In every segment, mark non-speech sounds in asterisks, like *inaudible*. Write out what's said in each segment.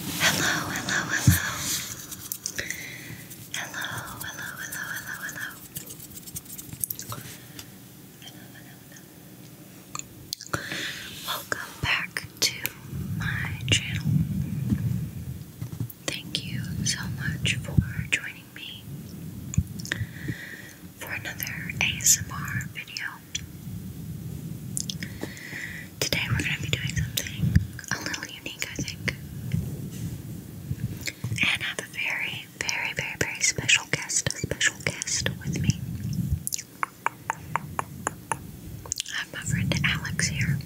Hello, hello, hello. Hello, hello, hello, hello, hello. Hello, hello, hello. Welcome back to my channel. Thank you so much for joining me for another ASMR video. Today we're going to be doing something a little unique, I think. And I have a very, very, very, very special guest, a special guest with me. I have my friend Alex here.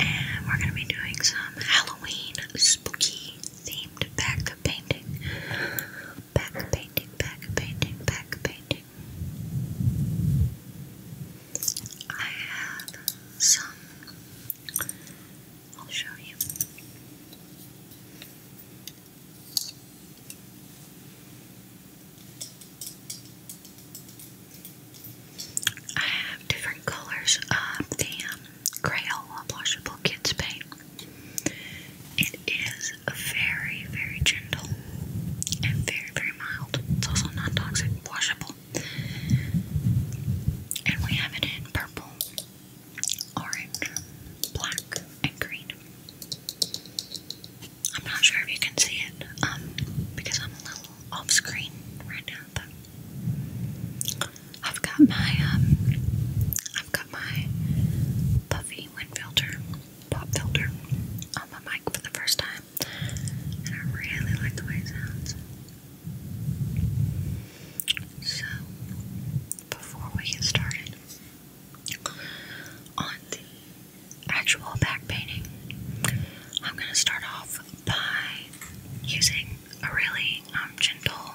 And we're going to be doing some Halloween spooky themed back painting. Back painting, back painting, back painting. I have some. I'll show you. I have different colors of the um, Crayola Washable Kids Paint. It is very, very gentle and very, very mild. It's also non toxic, washable. And we have it in purple, orange, black, and green. I'm not sure if you can see it um, because I'm a little off screen right now, but I've got my um, I've got my Puffy wind filter pop filter on my mic for the first time, and I really like the way it sounds. So, before we get started on the actual back painting, I'm going to start off by using a really um, gentle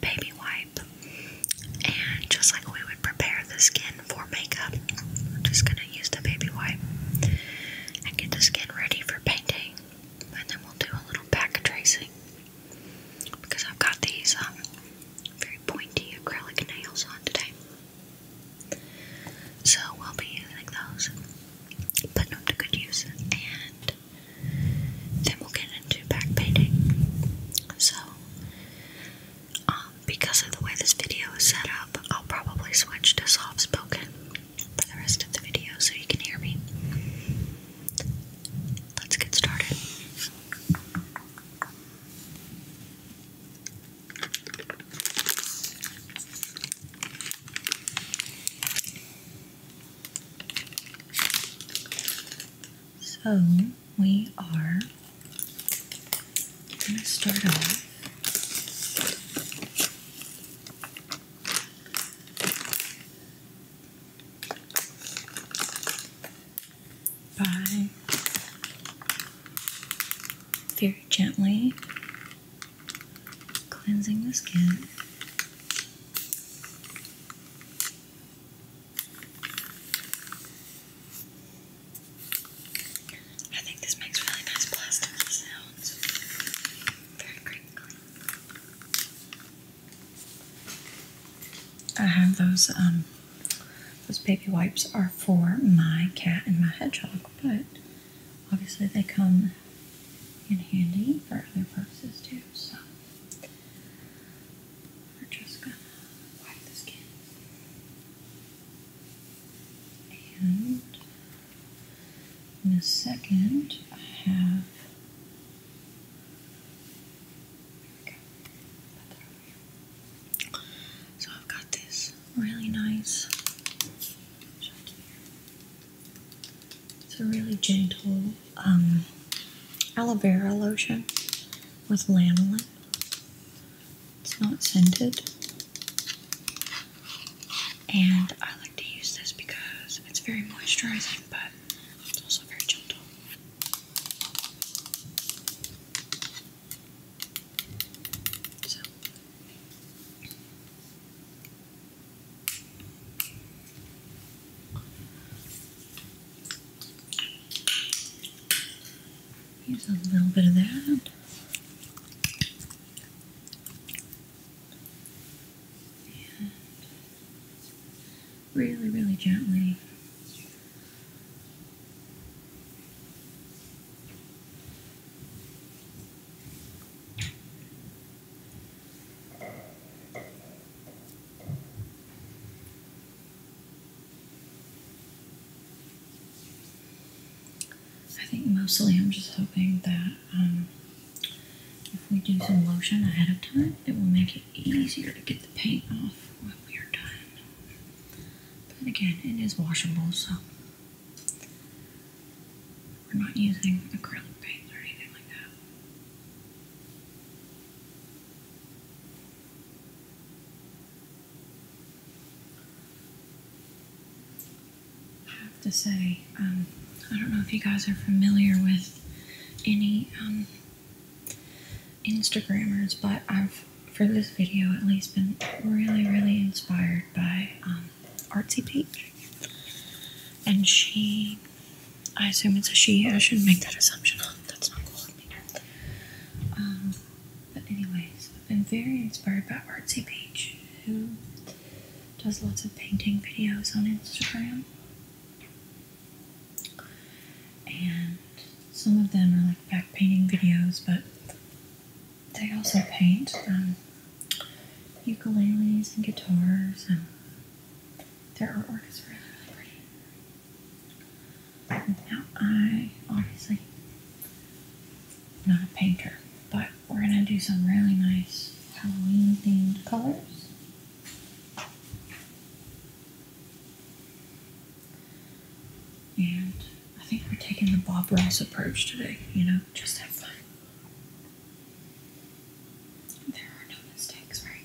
baby wipe. And just like we would prepare the skin for makeup. I'm just gonna use the baby wipe and get the skin ready for painting, and then we'll do a little back tracing because I've got these um, very pointy acrylic nails on today. So we'll be using those, putting them to good use, and then we'll get into back painting. So um, because of the way this video is set up, I'll probably switch to soft spoken for the rest of the video so you can hear me. Let's get started. So we are going to start off by very gently cleansing the skin. I think this makes really nice plastic sounds. Very crinkly. I have those, um, those baby wipes are for my cat and my hedgehog, but obviously they come in handy for other purposes too, so we're just gonna wipe the skin and in a second I have So I've got this really nice it's a really gentle um, aloe vera lotion with lanolin. It's not scented. And I like to use this because it's very moisturizing, but it's also very gentle. So. Here's a little bit of that. really, really gently. I think mostly I'm just hoping that um, if we do some lotion ahead of time, it will make it easier to get the paint off when we are done. But again, it is washable, so we're not using acrylic paint or anything like that. I have to say, um, I don't know if you guys are familiar with any um, Instagrammers, but I've, for this video at least, been really, really inspired by um, Artsy Peach. And she, I assume it's a she, I shouldn't make that assumption. That's not cool. Um, but anyways, I've been very inspired by Artsy Page, who does lots of painting videos on Instagram. And some of them are like back painting videos, but they also paint ukuleles and guitars, and there are orchestras really pretty. Now, I obviously am not a painter, but we're going to do some really nice Halloween themed colors. And I think we're taking the Bob Ross approach today, you know, just have fun. There are no mistakes, right?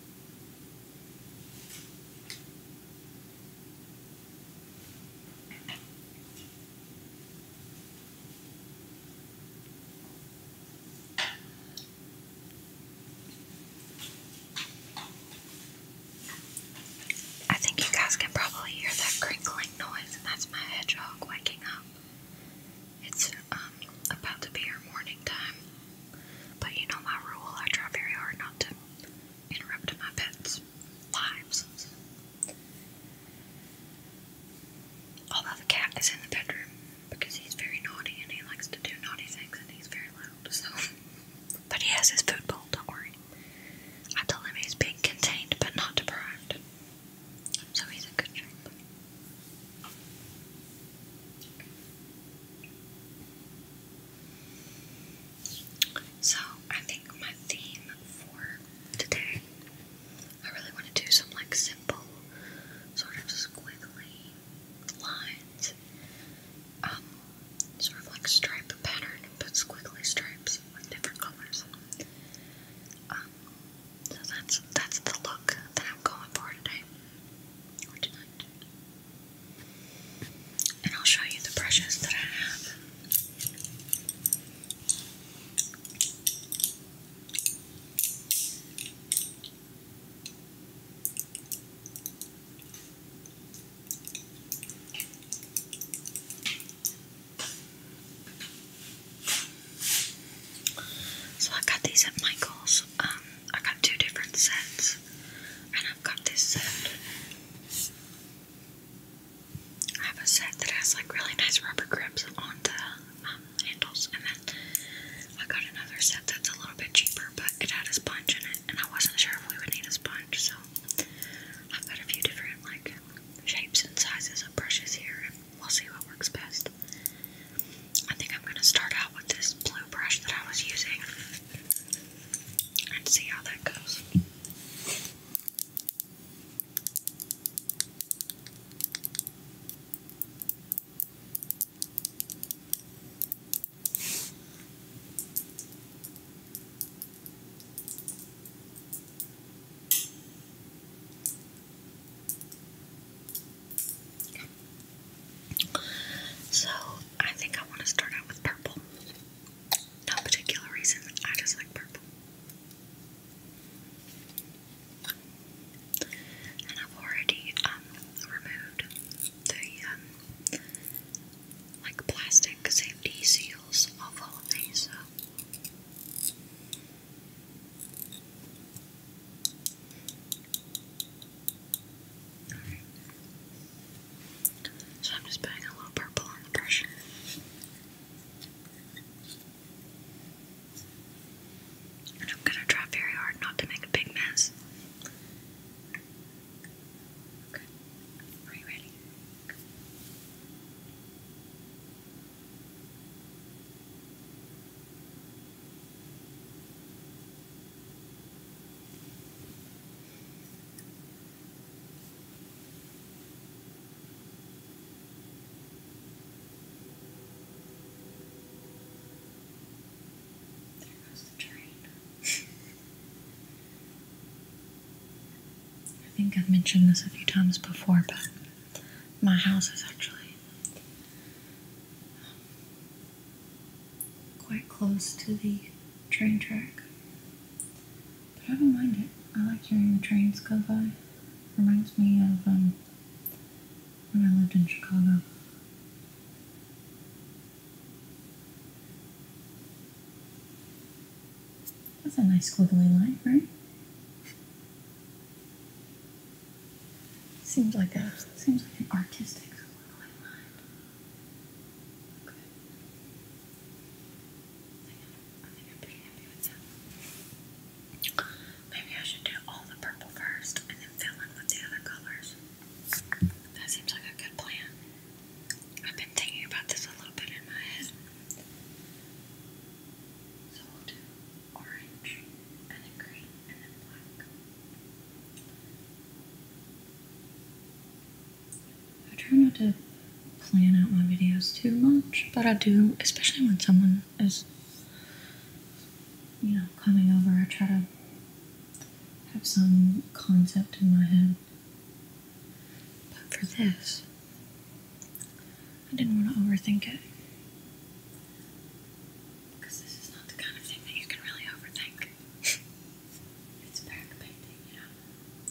I think you guys can probably hear that crinkling noise, and that's my hedgehog waking up. It's um, about to be her morning time. But you know my rule, I try very hard not to interrupt my pets' lives. Although the cat is in the bedroom because he's very naughty and he likes to do naughty things and he's very loud, so. *laughs* But he has his food bowl, don't worry. I tell him he's being contained but not deprived. So he's in good shape. So, I think my theme for today, I really want to do some like simple, sort of squiggly lines. Um, sort of like stripe pattern, but squiggly stripes with different colors. Um, so that's that's the look that I'm going for today or tonight and I'll show you the brushes that I have. So I got these at Michael's. Um, I got two different sets, and I've got this set. I have a set that has like really nice rubber grips on the um, handles, and then I got another set that's a little bit cheaper, but it had a sponge in it, and I wasn't sure if we would need a sponge, so I've got a few different like shapes and sizes of brushes here, and we'll see what works best. I think I'm going to start out with this blue brush that I was using and see how that goes. So I think I want to start out with purple. No particular reason, I just like purple. And I've already um, removed the um, like plastic safety seals off all of these. So I'm just putting a little purple on the brush. And I'm gonna try very hard not to make a big mess. Okay. Are you ready? There goes the train. *laughs* I think I've mentioned this a few times before, but my house is actually quite close to the train track. But I don't mind it. I like hearing the trains go by. Reminds me of um, when I lived in Chicago. That's a nice squiggly line, right? Seems like a seems like an artistic solution mind. Okay. Maybe I should do all the purple first and then fill in with the other colors. That seems like a good plan. I've been thinking about this a little bit in my head. So we'll do orange and then green and then black. I try not to plan out my videos too much, but I do, especially when someone is, you know, coming over, I try to have some concept in my head. But for this, I didn't want to overthink it. Because this is not the kind of thing that you can really overthink. *laughs* it's back painting, you know?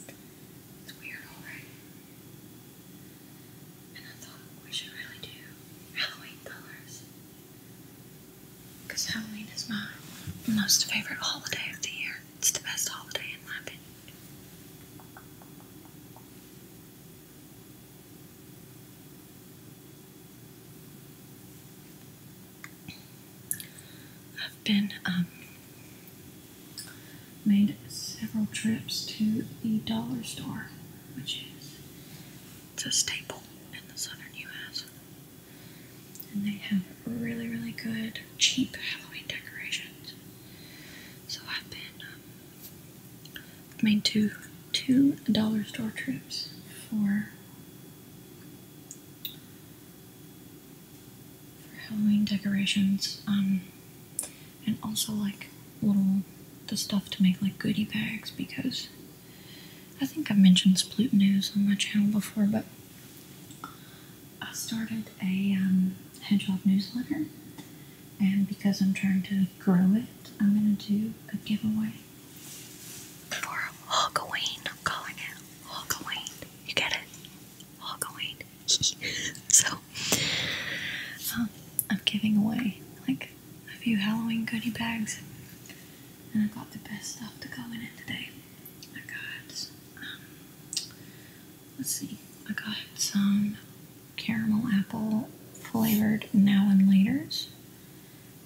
It's weird, alright? And I thought we should really do Halloween colors. Because Halloween is my most favorite holiday of the year. It's the best holiday in my opinion. I've been um, made several trips to the dollar store, which is it's a staple in the southern U.S. And they have really, really good cheap Halloween decorations. So I've been um, I made two two dollar store trips for for Halloween decorations, um, and also like little the stuff to make like goodie bags because I think I've mentioned Sploot News on my channel before, but I started a um, hedgehog newsletter, and because I'm trying to grow it, I'm gonna do a giveaway for Halloween. I'm calling it Halloween. You get it? Halloween. *laughs* so, um, I'm giving away like a few Halloween goodie bags, and I got the best stuff to go in it today. I got, um, let's see, I got some caramel apple flavored now and laters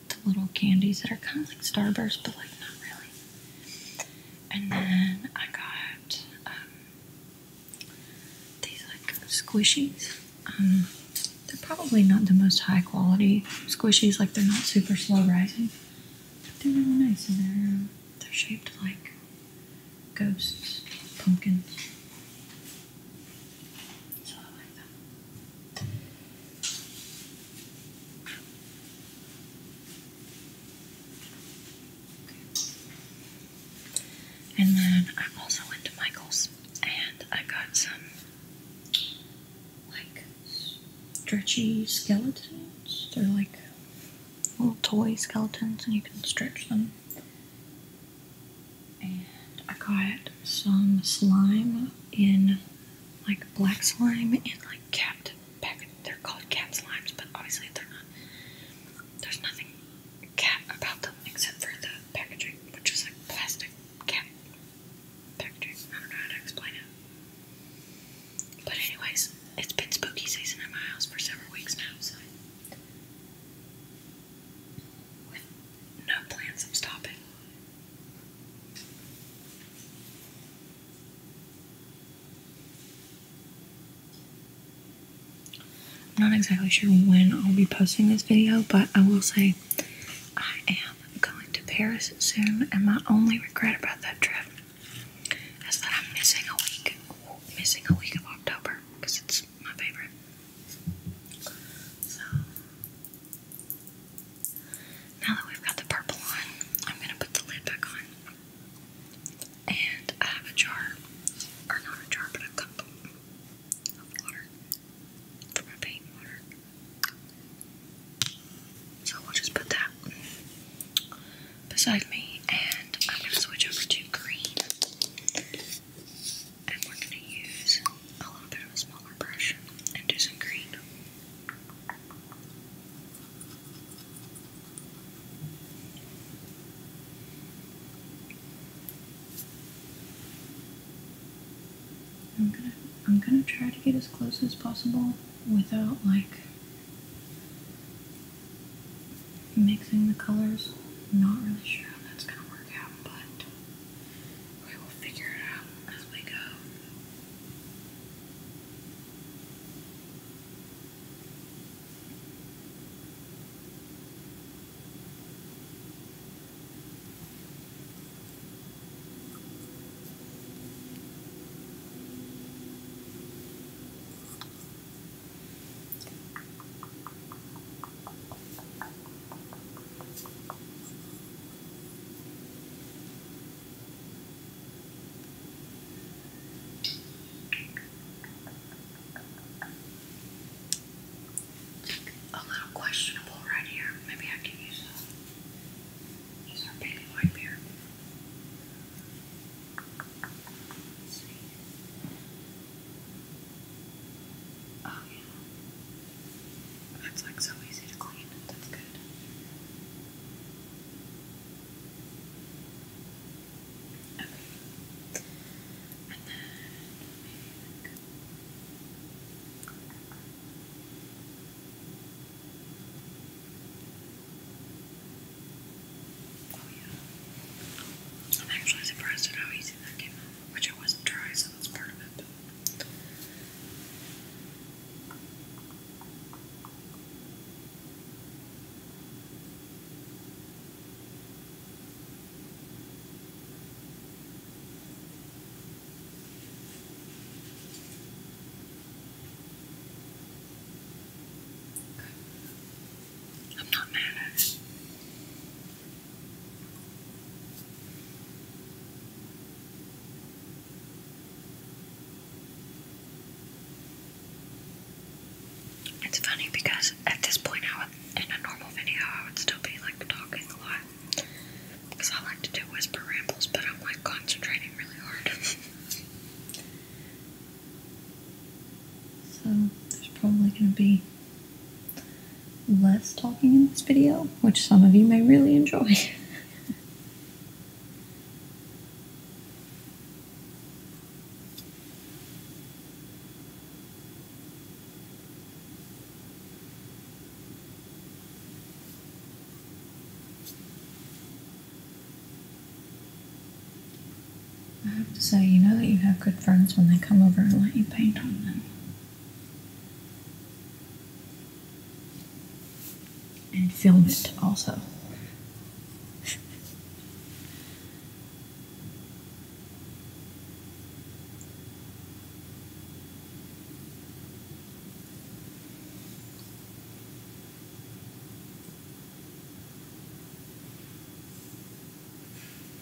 the little candies that are kind of like Starburst, but like not really. And then I got um, these like squishies. Um, they're probably not the most high quality squishies, like they're not super slow rising. But they're really nice and they're, they're shaped like ghosts, pumpkins. And then I also went to Michael's and I got some like stretchy skeletons. They're like little toy skeletons and you can stretch them. And I got some slime in like black slime and like capped packet. They're called cat slimes, but obviously they're not. There's nothing cat about them except for the packaging, which is like plastic cat packaging. I don't know how to explain it. But anyways, it's been spooky season at my house for several weeks now, so no plans of stopping. I'm not exactly sure when I'll be posting this video, but I will say I am going to Paris soon, and my only regret about that trip is that I'm missing a week, missing a week of October because it's my favorite. So now that we've got the purple on, I'm gonna put the lid back on. And I have a jar, or not a jar, but a cup of water for my paint water. So we'll just put that beside me, and I'm gonna switch over to green and we're going to use a little bit of a smaller brush and do some green. I'm gonna I'm gonna try to get as close as possible without like mixing the colors. not really sure how that's gonna work out, but we will figure it out as we go. A little questionable right here. Maybe I can use a use our baby wipe here. Oh yeah. That's like so easy to clean. That's good. Okay. Oh yeah. I'm actually surprised at how easy that came out which I wasn't dry, so that's part of it. Okay. I'm not mad at It's funny because at this point, I in a normal video, I would still be like talking a lot because I like to do whisper rambles, but I'm like concentrating really hard. *laughs* so, there's probably going to be less talking in this video, which some of you may really enjoy. *laughs* I have to say, you know that you have good friends when they come over and let you paint on them. And film it also.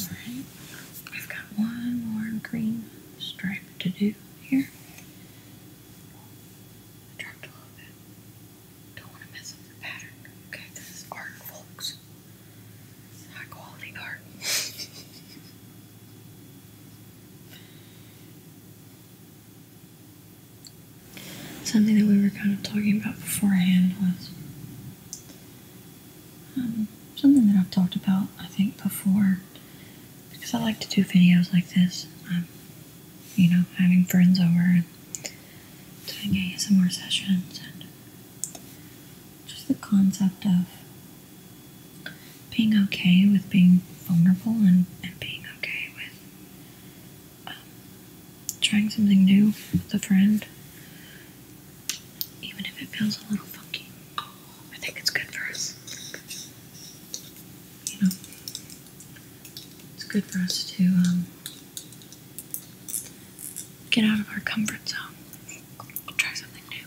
Alright, I've got one more green stripe to do here. dropped a little bit. Don't want to mess up the pattern. Okay, this is art, folks. high quality art. *laughs* Something that we were kind of talking about beforehand was um, something that I've talked about, I think, before. Because I like to do videos like this. Um, you know, having friends over and doing ASMR sessions and just the concept of being okay with being vulnerable and, and being okay with trying something new with a friend, even if it feels a little funky. I think it's good for us. You know, it's good for us to um, get out of our comfort zone, try something new.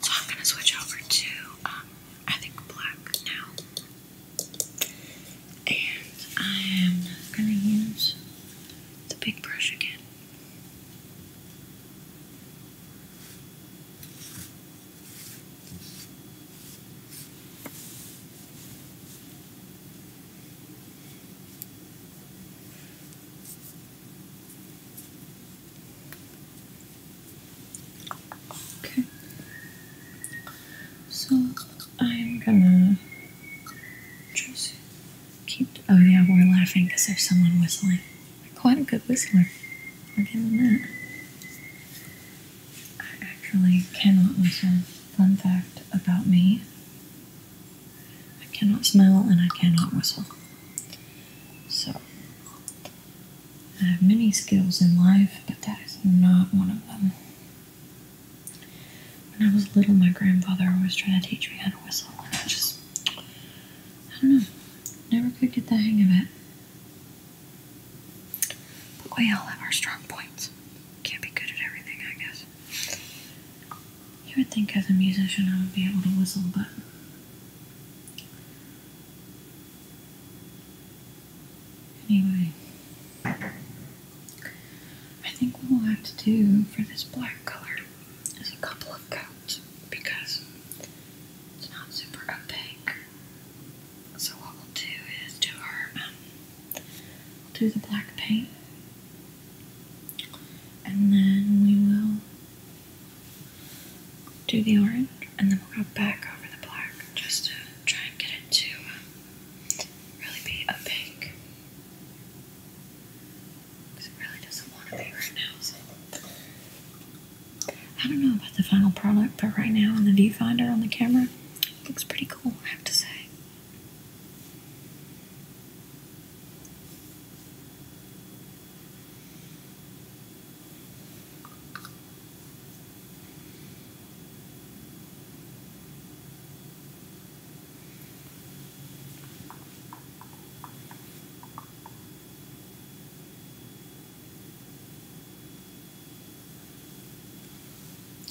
So I'm gonna switch over to um, I think black now. And I am going to use the big brush again. Okay. So I'm gonna just keep. Oh yeah, we're laughing because there's someone whistling. quite a good whistler. I'll give him I actually cannot whistle. Fun fact about me: I cannot smell and I cannot whistle. So I have many skills in life, but that is not one of them. When I was little, my grandfather always tried to teach me how to whistle, and I just, I don't know, never could get the hang of it. But we all have our strong points. Can't be good at everything, I guess. You would think as a musician I would be able to whistle, but Anyway, I think what we'll have to do for this black color is a couple of coats because it's not super opaque. So what we'll do is do our, um, we'll do the black paint and then we will do the orange and then we'll go back over the black just to try and get it to um, really be opaque. Because it really doesn't want to be right now. So. I don't know about the final product, but right now on the viewfinder on the camera, looks pretty cool, I have to say.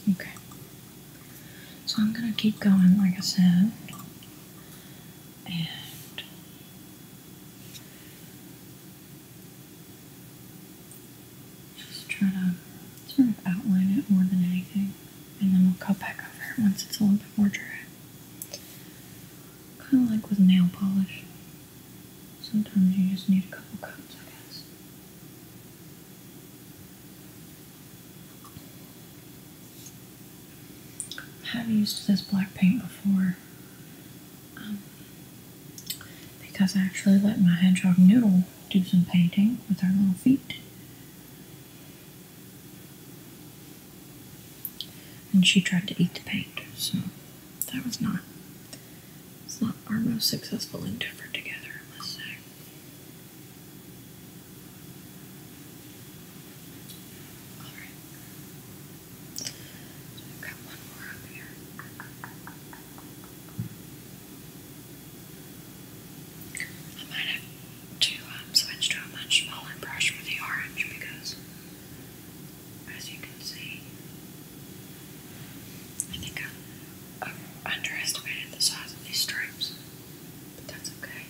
Okay. So I'm going to keep going, like I said. And just try to sort of outline it more than anything, and then we'll go back over it once it's a little bit more dry. Kind of like with nail polish. Sometimes you just need a couple coats, I guess. I have used this black paint before. Um, because I actually let my hedgehog Noodle do some painting with her little feet. And she tried to eat the paint, so that was not it's not our most successful endeavor together, I must say. Alright. I've got one might have to um, switch to a much smaller brush for the orange because, as you can see, I think I, underestimated the size of these stripes, but that's okay.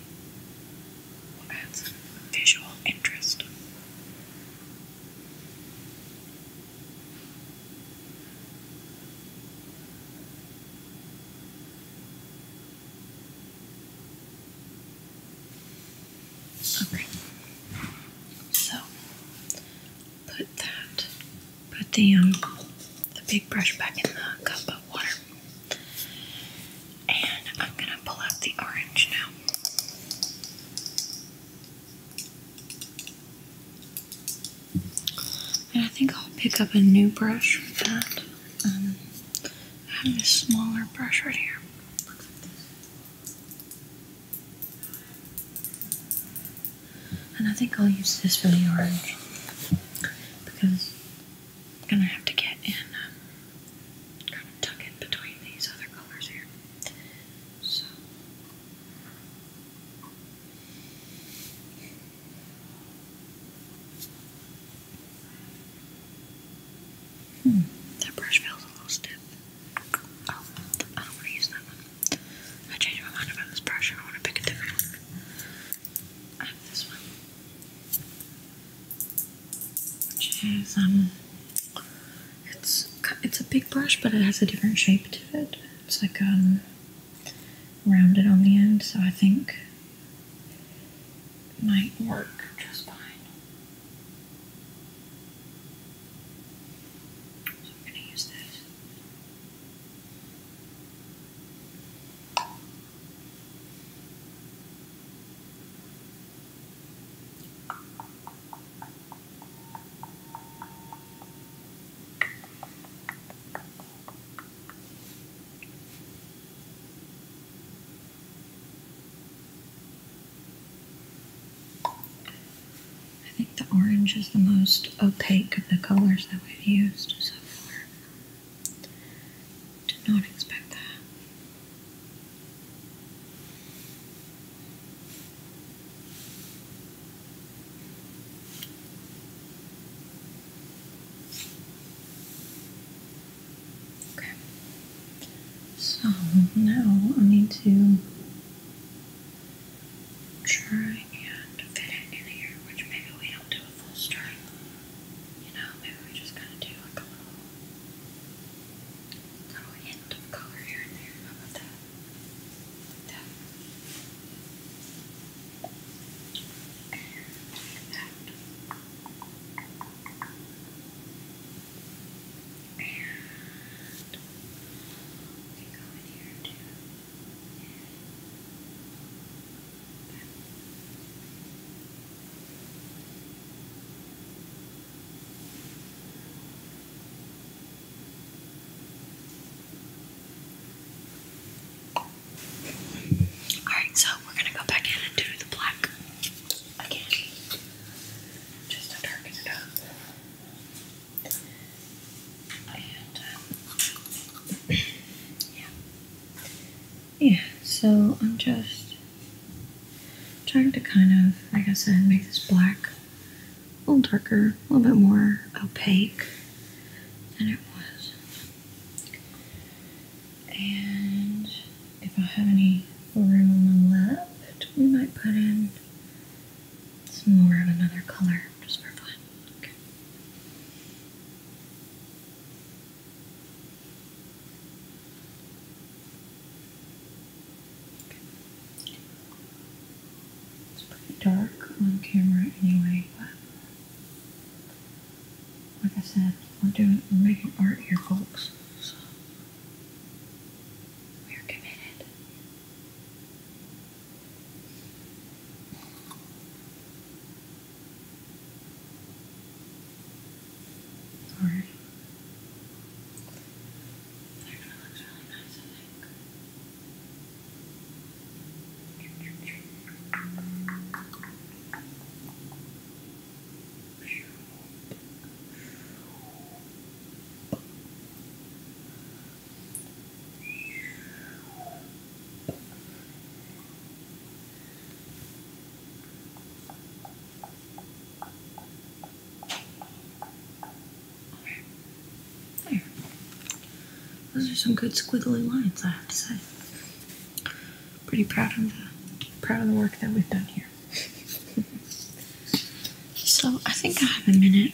We'll some visual interest. Okay. So put that, put the um, the big brush back in the cup of water, and I'm gonna pull out the orange now. And I think I'll pick up a new brush for that. Um, I have this smaller brush right here. And I think I'll use this for the orange because I'm gonna have to get in, um, kind of tuck in between these other colors here. So. Hmm, that brush feels a little stiff. Oh, I don't want to use that one. I changed my mind about this brush I want to pick a different one. I have this one. Which is, um, it's it's a big brush, but it has a different shape to it. It's like um rounded on the end, so I think might work just fine. So I'm gonna use this. I think the orange is the most opaque of the colors that we've used so far. Did not expect that. Okay. So now I need to try and fit it in here, which maybe we don't do a full string. You know, maybe we just kind of do a little, little in bit of color here and there. about that? that. And that. And That. Alright, so we're gonna go back in and do the black again. Just to darken it up. Um, *clears throat* yeah. Yeah, so I'm just Trying to kind of, like I said, make this black a little darker, a little bit more opaque than it was. And if I have any room on the left, we might put in some more of another color just for fun. It's pretty dark on camera anyway, but like I said, we're doing we're making art here, folks. So we're committed. Alright. They're gonna look really nice, I think. Those are some good squiggly lines, I have to say. Pretty proud of the proud of the work that we've done here. *laughs* so I think I have a minute.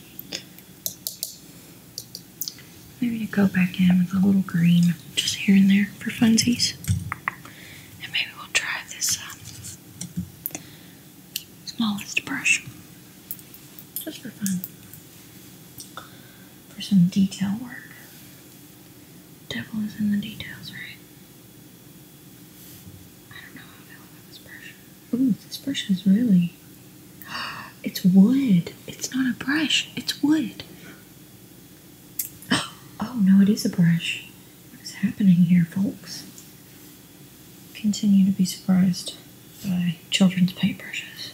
Maybe you go back in with a little green just here and there for funsies. And maybe we'll try this out. Um, smallest brush just for fun for some detail work devil is in the details right I don't know how I feel about this brush ooh this brush is really *gasps* it's wood it's not a brush it's wood *gasps* oh no it is a brush what is happening here, folks? Continue to be surprised by children's paintbrushes.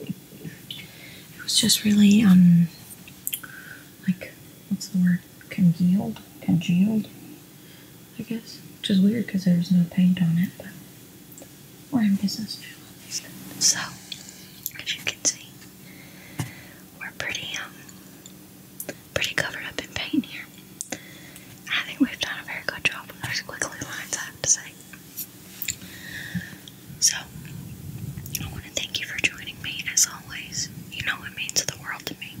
it was just really, um, like, what's the word? Congealed? Congealed? I guess. Which is weird because there was no paint on it, but we're in business now. So, as you can see, we're pretty um pretty covered up in paint here. I think we've done a very good job with those quickly lines, I have to say. So I want to thank you for joining me as always. You know it means the world to me.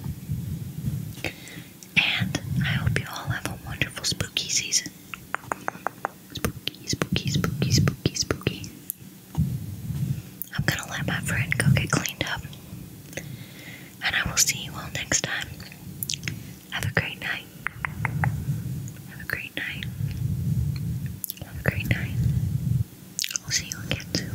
And I hope you all have a wonderful spooky season. Spooky, spooky, spooky, spooky, spooky. I'm gonna let my friend go get cleaned up. And I will see you all next time. Have a great night. Have a great night. Have a great night. I'll see you again soon.